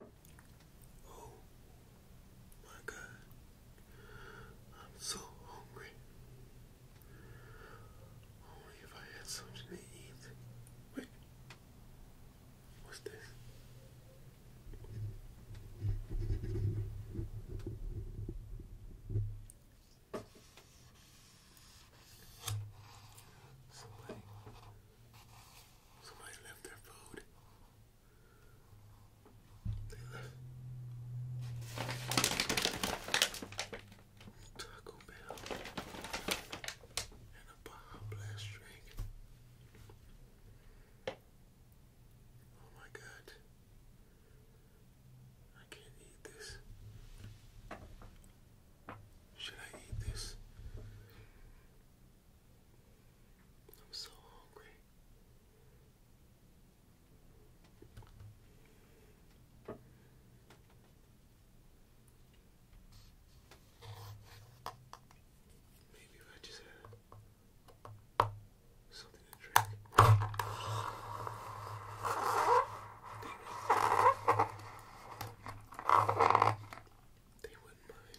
Oh my God, I'm so hungry. Only if I had something to eat. Wait, what's this? Somebody left their food. They left Taco Bell and a Baja Blast drink. Oh my god. I can't eat this. Should I eat this? I'm so hungry. Maybe if I just had something to drink. They, wouldn't mind.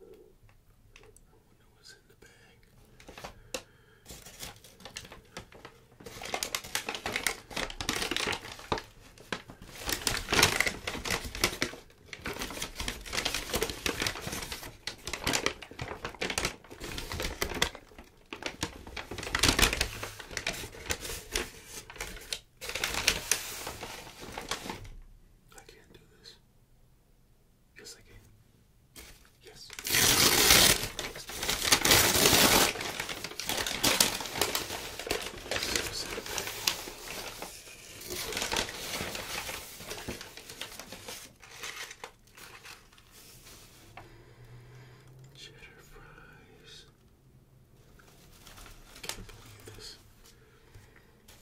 wonder what's I can't do this. Yes, I can. Yes. Cheddar fries. can't believe this.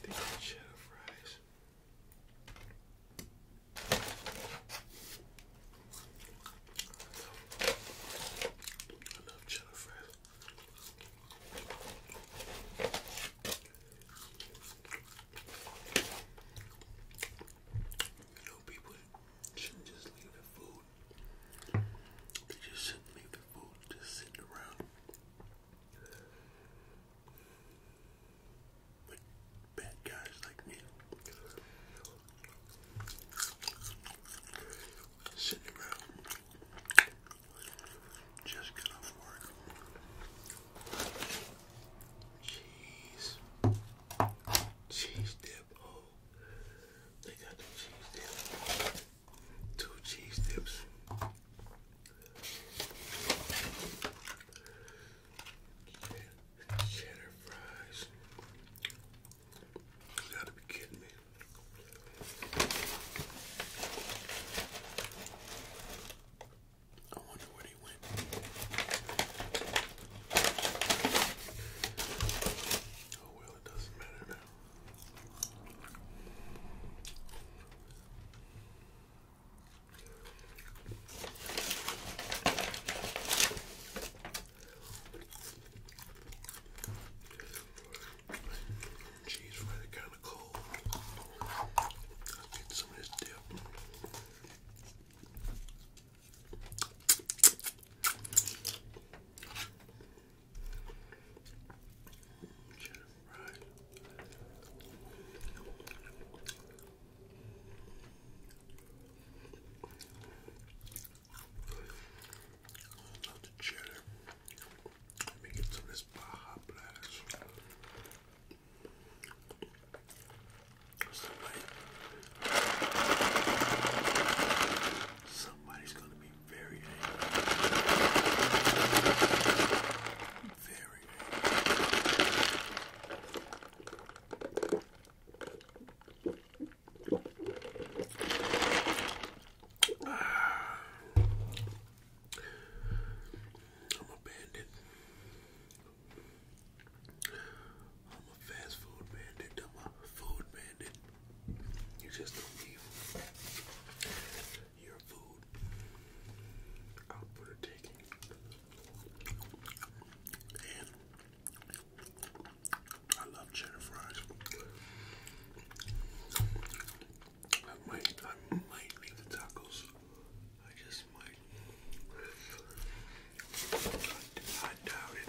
They cheddar fries. I love cheddar fries. You know, people shouldn't just leave their food. They just shouldn't leave their food just sitting around bad guys like me sitting around just got off work. Cheese. Cheese dip. Oh, they got the cheese dip. Two cheese dips. Cheddar fries. You gotta be kidding me. I wonder where he went. Oh well, it doesn't matter now. Cheese really kind of cold. I'll get some of this dip. Cheddar Right. Love Let me get some of this Baja Blast. somebody's gonna be very angry. Very I'm a bandit. I'm a fast food bandit. I'm a food bandit. You just don't leave your food out I love chicken fries. I might, I might leave the tacos. I just might. I, doubt it.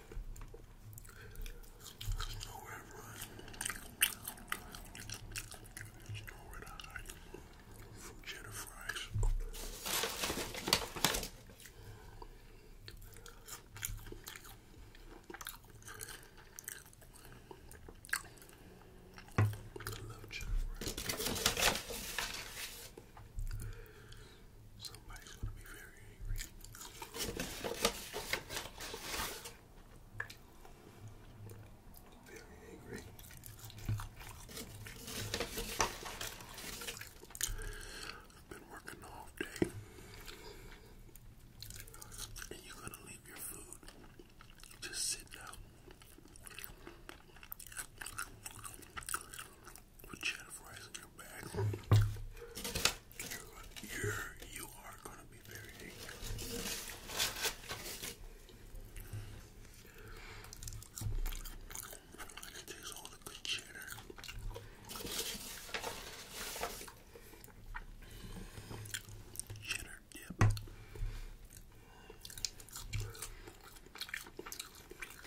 There's nowhere to run. There's nowhere to fries. I love cheddar fries. Somebody's gonna be very angry. Very angry. I've been working all day. And you're gonna leave your food. Just sit down with cheddar fries in your bag, you're you're, going to be very angry. And it all the cheddar. Cheddar dip.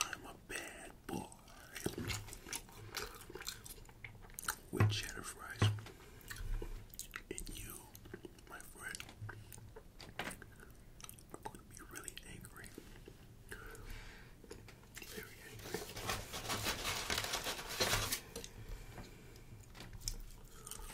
I'm a bad boy with cheddar fries, and you, my friend, are going to be really angry. Very angry.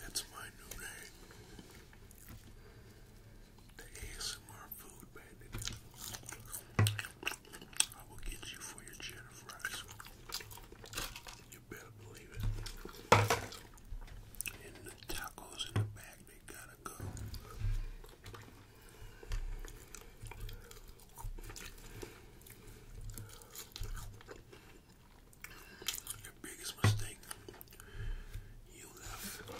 That's my new name. The ASMR food bandit. I will get you for your cheddar fries. You better believe it. And the tacos in the bag, they gotta go. Your biggest mistake, you left the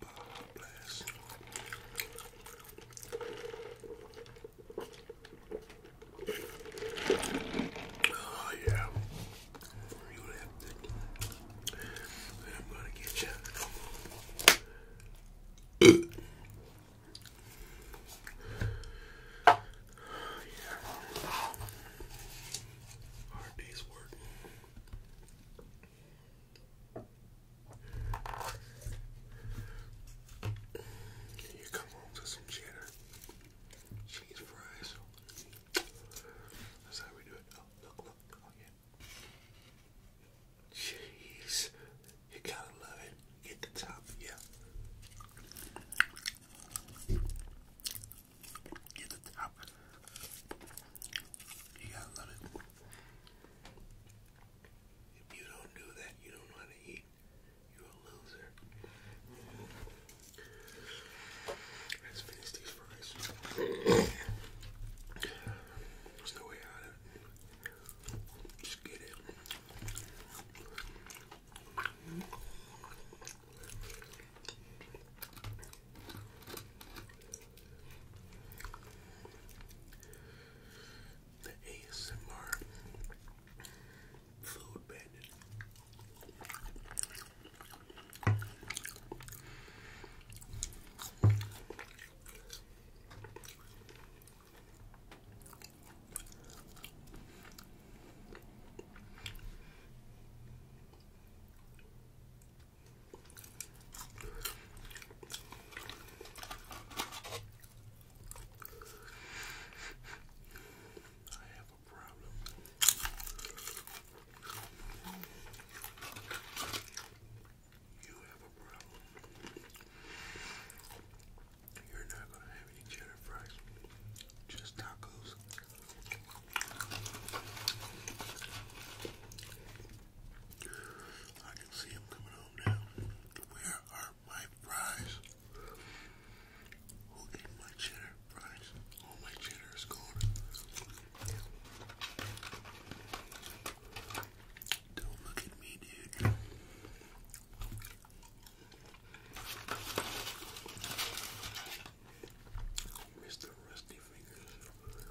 bar blast. Oh, yeah. I'm gonna get you. oh, yeah. Hard day's work you come home to some cheddar? Cheese fries. That's how we do it. Oh, look, look. Oh, yeah. Cheese. You gotta love it. Get the top, yeah. Get the top. You gotta love it. If you don't do that, you don't know to eat. You're a loser. Let's finish these fries. There's no way out Just get it the ASMR food bandit. I have a problem. You have a problem. You're not gonna have any cheddar fries, just tacos. I can see him coming home now. Where are want my fries? Who ate my cheddar fries? All my cheddar is gone. Don't look at me, dude. Mr. Rusty Fingers.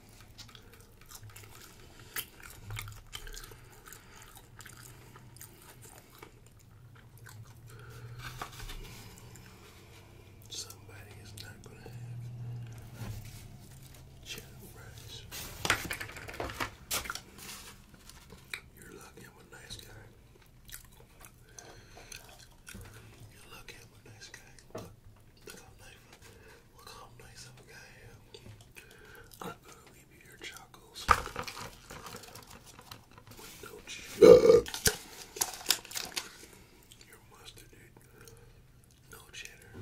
Somebody is not going to have chicken rice. You're lucky I'm a nice guy. You're lucky I'm a nice guy. Look, look how nice. Look how nice of a guy I am. Uh. I'm gonna leave you your chocos with no cheese. Uh. your mustard, dude. No cheddar.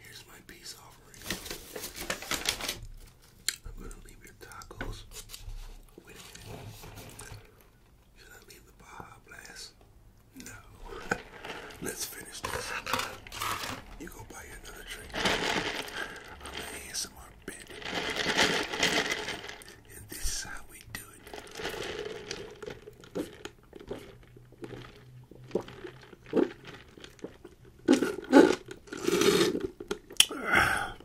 Here's my peace offering. I'm gonna leave your tacos. Should I leave the Baja Blast? No. Let's finish this. You go buy another drink. I'm gonna add some And this is how we do it. Ah.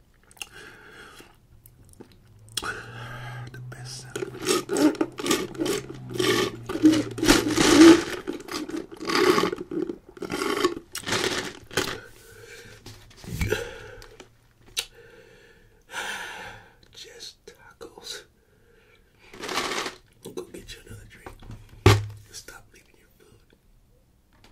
The best Just tacos. Go get you another drink. Stop leaving your food.